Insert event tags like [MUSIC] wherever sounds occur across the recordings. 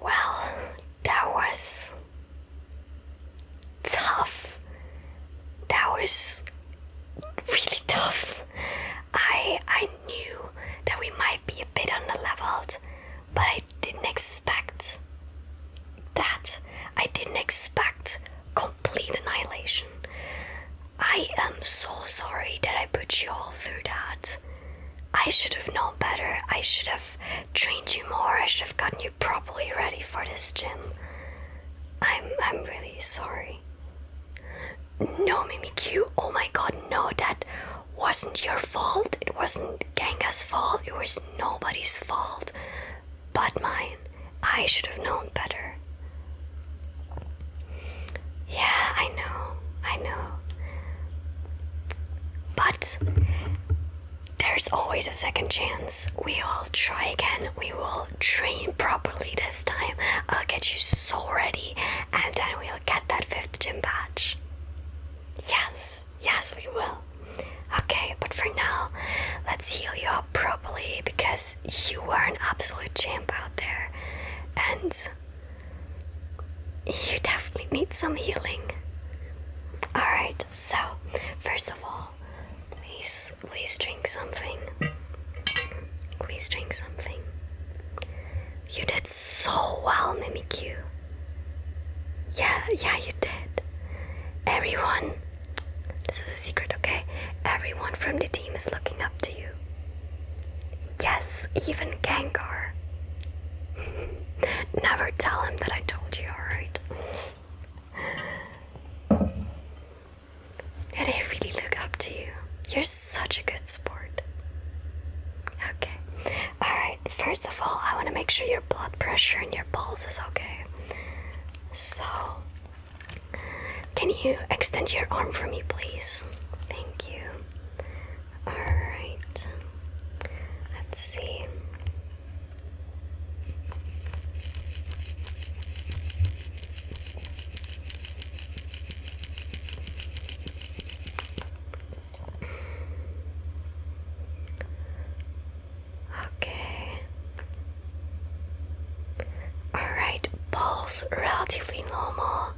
Well, that was tough. That was really tough. I I knew that we might be a bit underleveled, but I didn't expect that. I didn't expect complete annihilation. I am so sorry that I put you all through that. I should have known better. I should have trained you more. I should have gotten you properly ready for this gym. I'm I'm really sorry. No, Mimikyu. Oh my god, no, that wasn't your fault. It wasn't Genga's fault. It was nobody's fault but mine. I should have known better. Yeah, I know, I know. But there's always a second chance. We all try again. We will train properly this time. I'll get you so ready, and then we'll get that fifth gym badge. Yes, yes, we will. Okay, but for now, let's heal you up properly because you are an absolute champ out there. And you definitely need some healing. Alright, so first of all, please, please drink something. Please drink something. You did so well, Mimikyu. Yeah, yeah, you did. Everyone, this is a secret, okay? Everyone from the team is looking up to you. Yes, even Gengar. [LAUGHS] Never tell him that I told you, alright? And I really look up to you. You're such a good sport. Okay. Alright, first of all, I want to make sure your blood pressure and your pulse is okay. So, can you extend your arm for me, please? Thank you. Alright, let's see. Okay. Alright, pulse relatively normal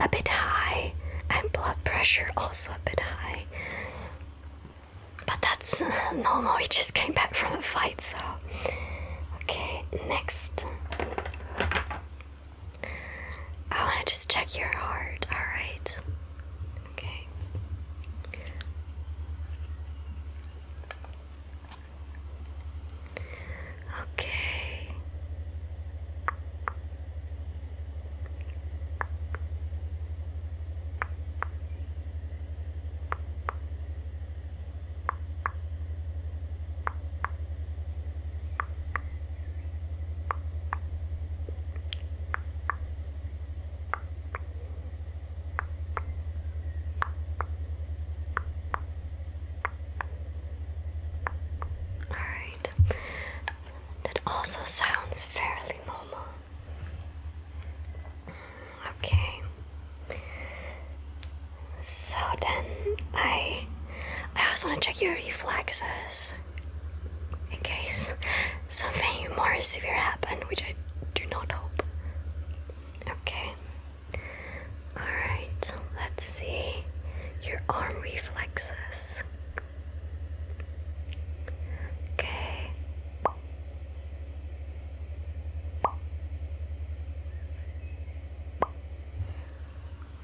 a bit high and blood pressure also a bit high. But that's uh, normal, he just came back from a fight, so. Okay, next. I want to just check your heart, alright? Okay. Okay. All that also sounds fairly normal. Mm, okay. So then I I also want to check your reflexes in case something more severe happened, which I do not hope. Okay. Alright, let's see your arm reflexes. Okay.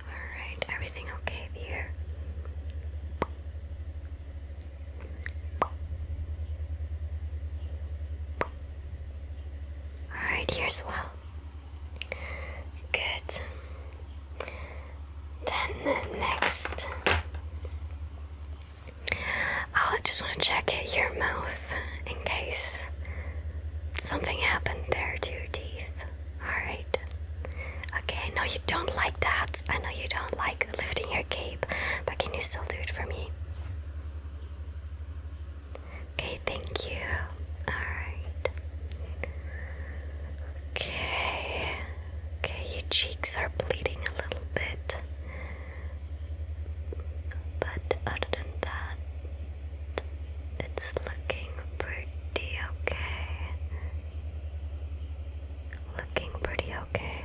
Alright, everything okay here? Alright, here's well. Good. Then next, I just want to check your mouth in case something happened there to your teeth. Alright. Okay, I know you don't like that. I know you don't like lifting your cape, but can you still do it for me? Okay, thank you. Alright. Okay. Okay, your cheeks are bleeding a little bit. But other than that, it's looking pretty okay. Looking pretty okay.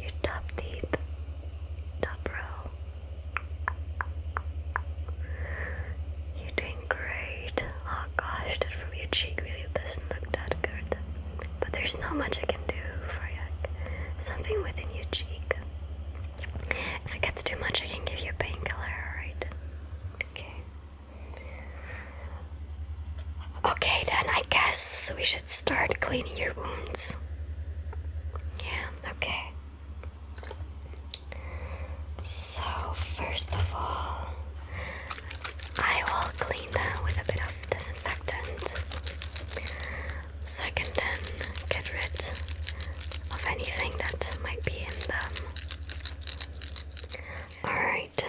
Your top teeth, top row. You're doing great. Oh gosh, that from your cheek really doesn't look that good. But there's not much I can do for you. Something within your cheek. If it gets too much, I can give you a painkiller, alright? Okay. Okay, then I guess we should start cleaning your wounds. Yeah, okay. So, first of all, I will clean them with a bit of disinfectant so I can then get rid of anything that might be in them. Alright.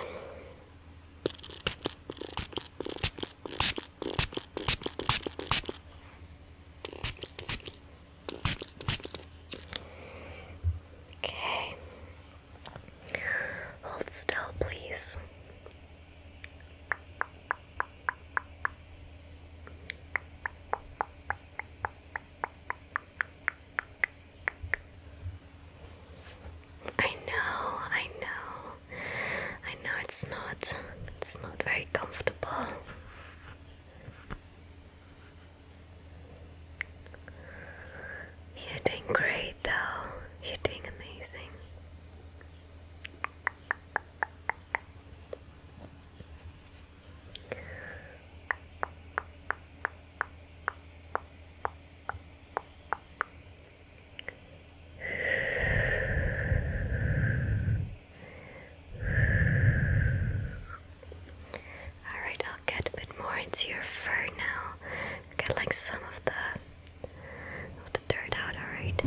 Okay. Hold still, please. I know, I know. I know it's not it's not very comfortable. You're doing great, though. You're doing amazing. All right, get a bit more into your fur now. Get like some of the of the dirt out, alright?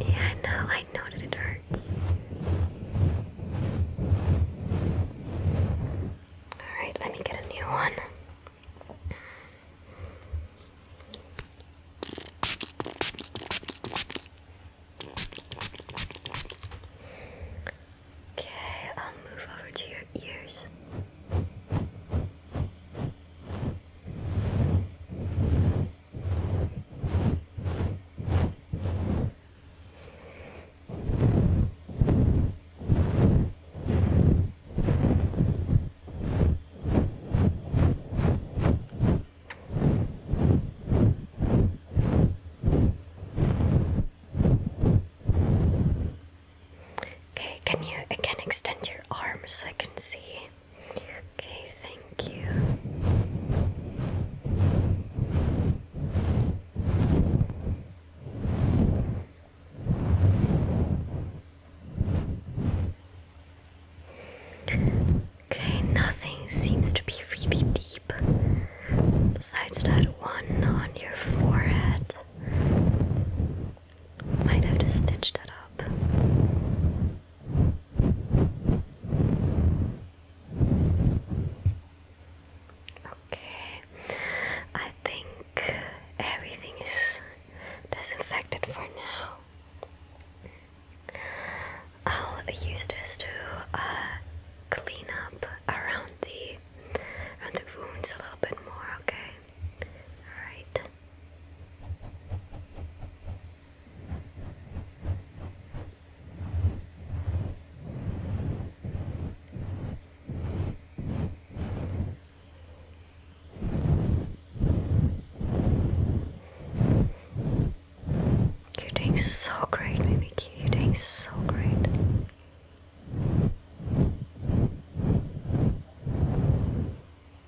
Yeah, I know, I I that it hurts. Alright, let me get a new one. Okay, I'll move over to your ears. Okay, can you can extend your arms so I can see? Okay, thank you. Okay, nothing seems to be really deep besides that one on your forehead. Might have to stitch that up. Okay, I think everything is disinfected for now. I'll use this to uh, clean up around the around the wounds a little bit more. Okay, all right. You're doing so great, baby. You're doing so great.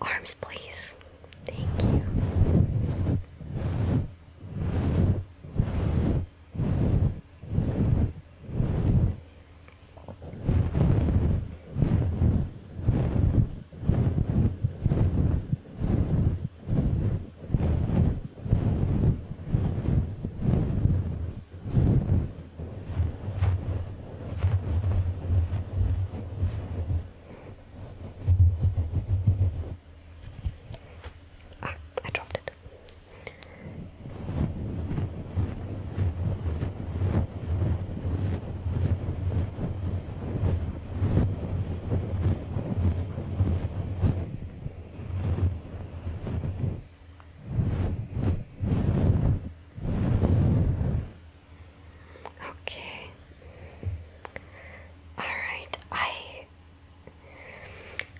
Arms, please. Thank you. Ah, I dropped it. Okay. All right. I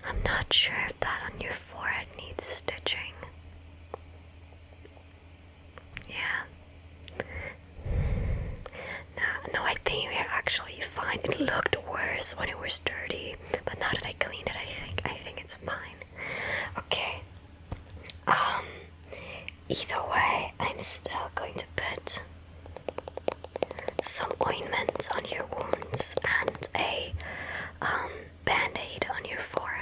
I'm not sure if that on your forehead needs stitching. Yeah. No, no, I think we're actually fine. It looked worse when it was dirty, but now that I clean it, I think I think it's fine. Okay. Um, either way, I'm still going to put some ointment on your wounds and a um, band aid on your forehead.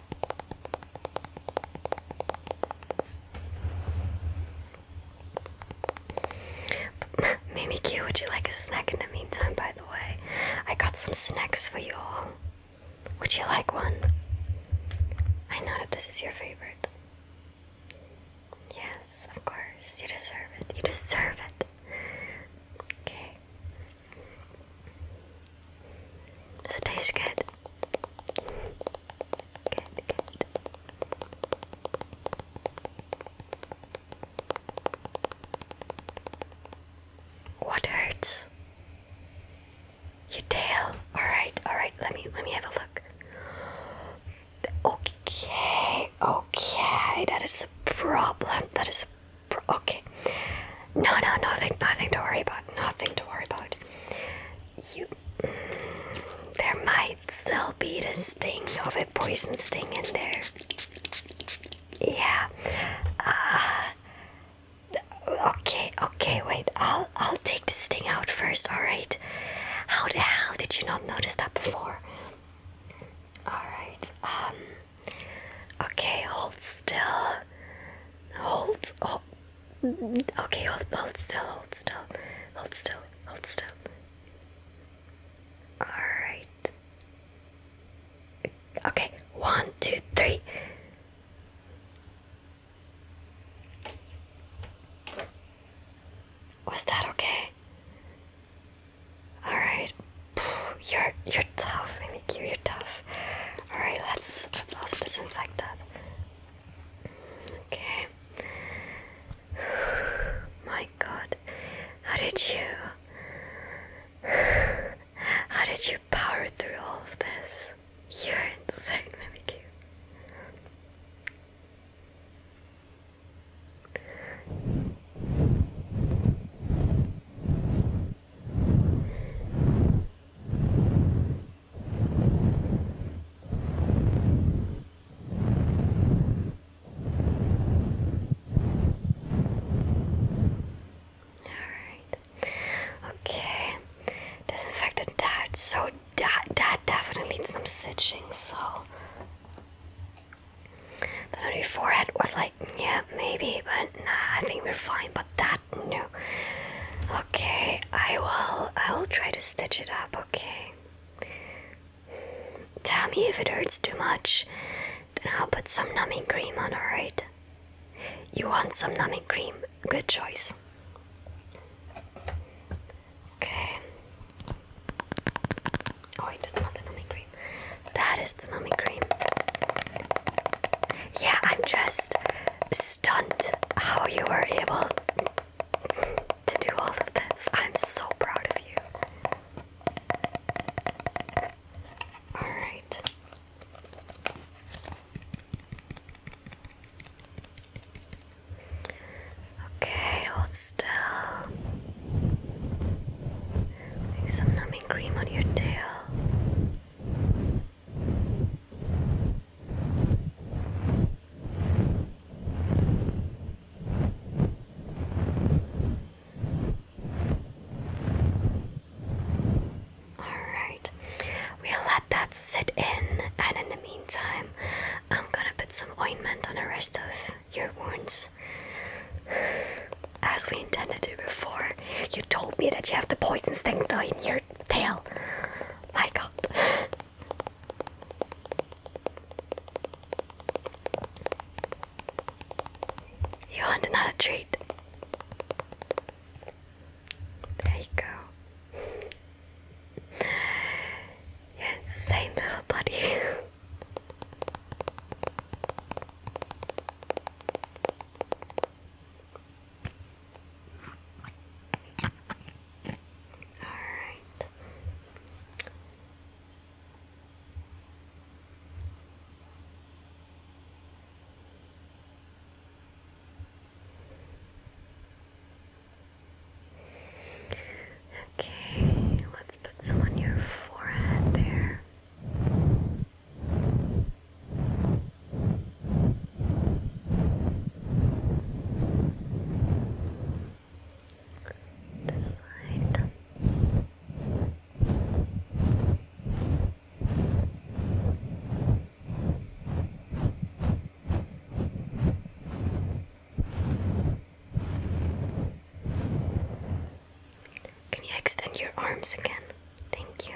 [LAUGHS] Mimikyu, would you like a snack in the meantime, by the way? I got some snacks for you all. Would you like one? I know that this is your favorite. Yes, of course. You deserve it. You deserve it. Okay. Does it taste good? What hurts? Your tail. All right, all right. Let me let me have a look. Okay, okay. That is a problem. That is a pro okay. No, no, nothing, nothing to worry about. Nothing to worry about. You, there might still be the sting of a poison sting in there. Yeah. Uh, okay, okay, wait. I'll I'll take the sting out first. All right. How the hell did you not notice that before? All right. Um. Okay, hold still. Hold. Oh, Okay, hold, hold still, hold still, hold still, hold still. Alright. Okay, one, two, three. Was that okay? Alright. You're you're tough, Mimikyu, you're tough. Alright, let's let's also disinfect that. Okay. [SIGHS] My God, how did you? [SIGHS] How did you power through all of this? You're insane, let me give. Alright. Okay. Disinfected that. So that that definitely needs some stitching, so then on your forehead was like, yeah, maybe, but nah, I think we're fine. But that not Okay, I will I will try to stitch it up, okay. Tell me if it hurts too much, then I'll put some numbing cream on, alright? You want some numbing cream? Good choice. Okay. Oh wait, not the numbing cream. That is the numbing cream. Yeah, I'm just Stunt! how you were able to do all of this. I'm so proud of you. Alright. Okay, hold still. some numbing cream on your tail. Alright, we'll let that sit in, and in the meantime, I'm gonna put some ointment on the rest of your wounds. As we intended to before. You told me that you have the poison sting in your tail my god. You want another treat? There you go. insane little buddy. Alright. Okay, let's put some on your forehead there the side can you extend your arms again? Thank you.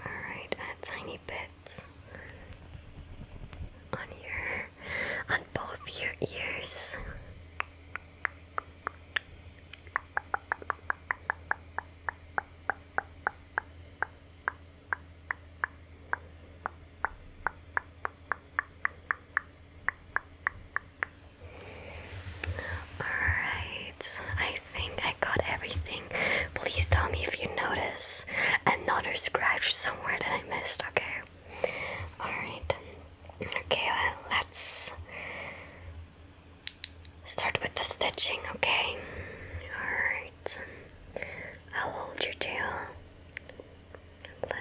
Alright, a uh, tiny bit on your on both your ears. Alright, I think I got everything. Please tell me if you notice another scratch somewhere that I missed, okay? Alright, okay, let's start with the stitching, okay? Alright, I'll hold your tail.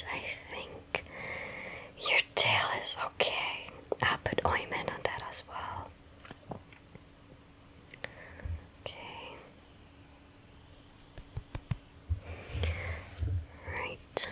Alright, I think your tail is okay. I'll put ointment on that as well. Okay. Right.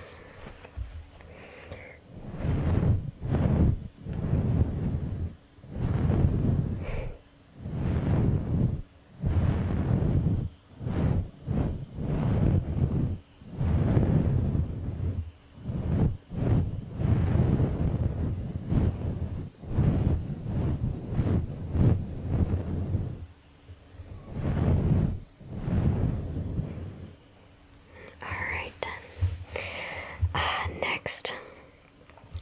All right then. Uh, next,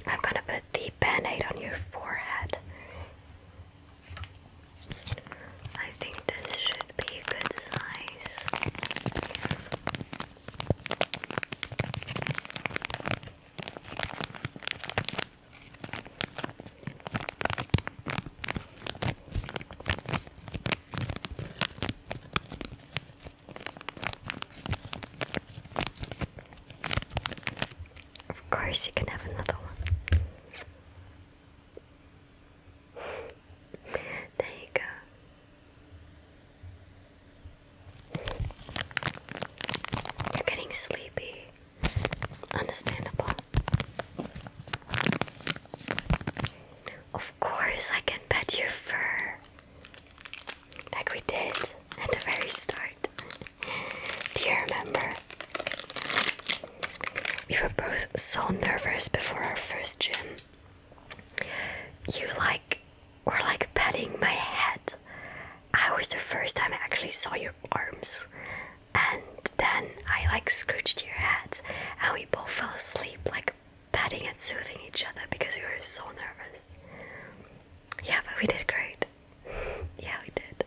I'm gonna put the band on your forehead. I think this should be a good size. Of course, you can have another one. [LAUGHS] there you go. You're getting sleepy. Understandable. Of course, I can pet your fur. Like we did at the very start. Do you remember? We were both so nervous before our first gym. You like were like patting my head. I was the first time I actually saw your arms. And then I like scrooched your head and we both fell asleep like patting and soothing each other because we were so nervous. Yeah, but we did great. [LAUGHS] yeah, we did.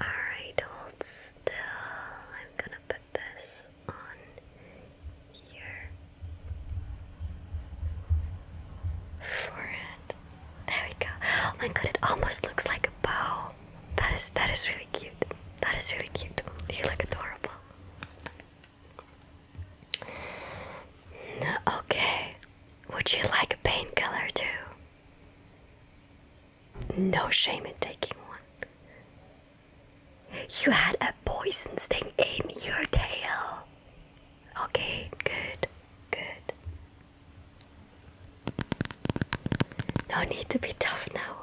Alright, hold still. I'm gonna put this on here. Forehead. There we go. Oh my god, it almost looks like a bow that is that is really cute. That is really cute. You look adorable. okay. Would you like a painkiller too? No shame in taking one. You had a poison sting in your tail. Okay, good, good. No need to be tough now.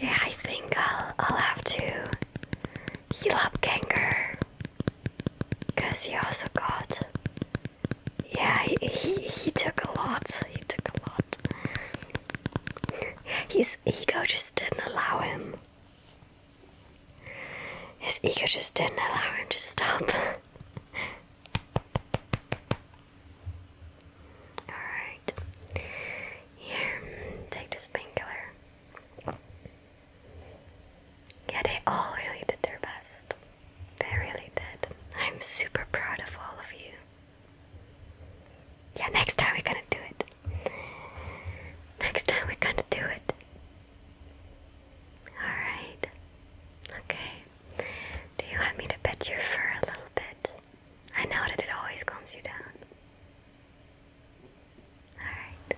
Yeah, I think I'll I'll have to heal up Kanger. Cause he also got, yeah, he, he took a lot. He took a lot. His ego just didn't allow him. His ego just didn't allow him to stop. [LAUGHS] Alright. Here, take this painkiller. Yeah, they all really did their best. They really did. I'm super proud of all of you. Yeah, next time we're gonna do it. Next time we're gonna do it. Alright. Okay. Do you want me to pet your fur a little bit? I know that it always calms you down. Alright.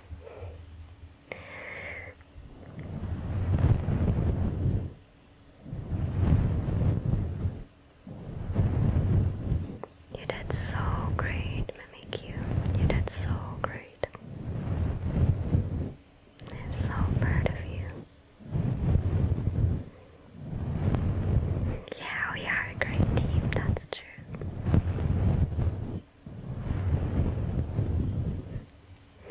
You did so great, Mimikyu. You. you did so great. I'm so proud of you. Yeah, we are a great team, that's true. [LAUGHS]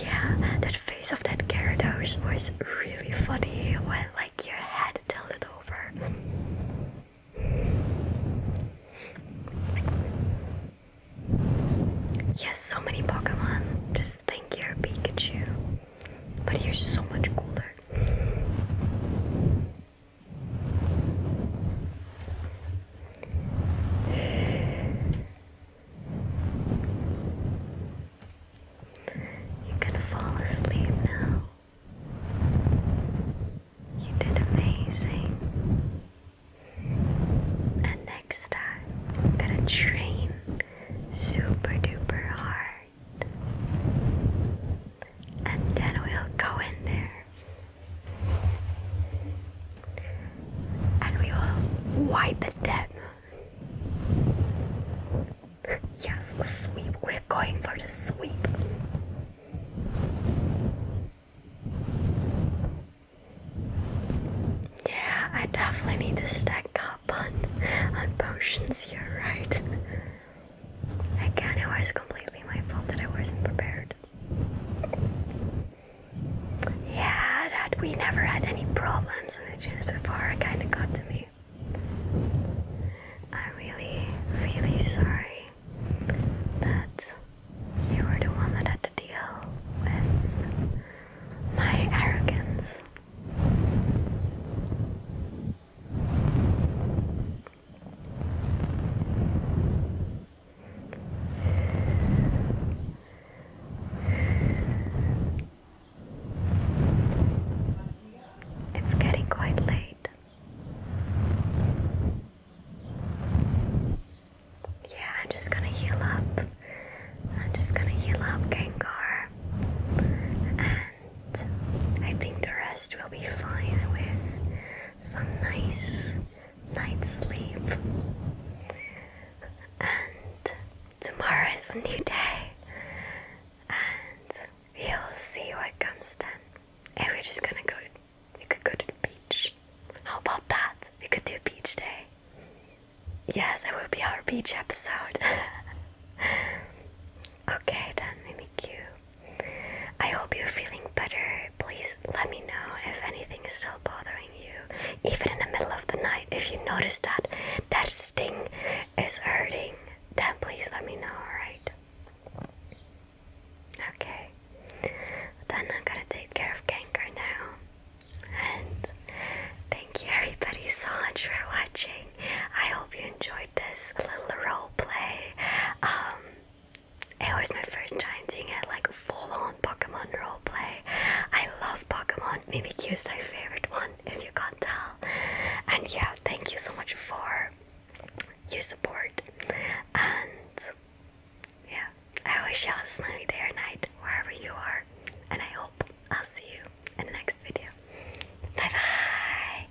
yeah, that face of that Gyarados was really funny when like your head tilted over. Yes, so many Pokemon. Just think you're Pikachu. But you're so much cooler. You're gonna fall asleep now. You did amazing. And next time, gonna train super duper hard and then we'll go in there and we will wipe it down. Yes, sweep. We're going for the sweep. Yeah, I definitely need to stack up on, on potions here, right? Again, it was completely my fault that I wasn't prepared. Yeah, that we never had any problems in the juice before it kinda got to me. I'm really, really sorry that you were the one that had to deal with my arrogance. It's getting quite late. Yeah, I'm just gonna heal up. I'm just gonna heal up, Gengar. And I think the rest will be fine with some nice night's sleep. And tomorrow is a new day, and we'll see what comes then. And we're just gonna go, we could go to the beach. How about that? We could do beach day. Yes, that will be our beach episode. [LAUGHS] okay, then, cute. I hope you're feeling better. Please let me know if anything is still bothering you, even in the middle of the night. If you notice that that sting is hurting, then please let me know, alright? Okay. Then I'm gonna take care of canker now. And thank you everybody so much for watching. I hope you enjoyed this little role play. Um it was my first time doing it like full on Pokemon roleplay. I love Pokemon. Maybe Q is my favorite one, if you can tell. And yeah, thank you so much for your support. And yeah, I wish y'all a sunny day or night wherever you are. And I hope I'll see you in the next video. Bye bye!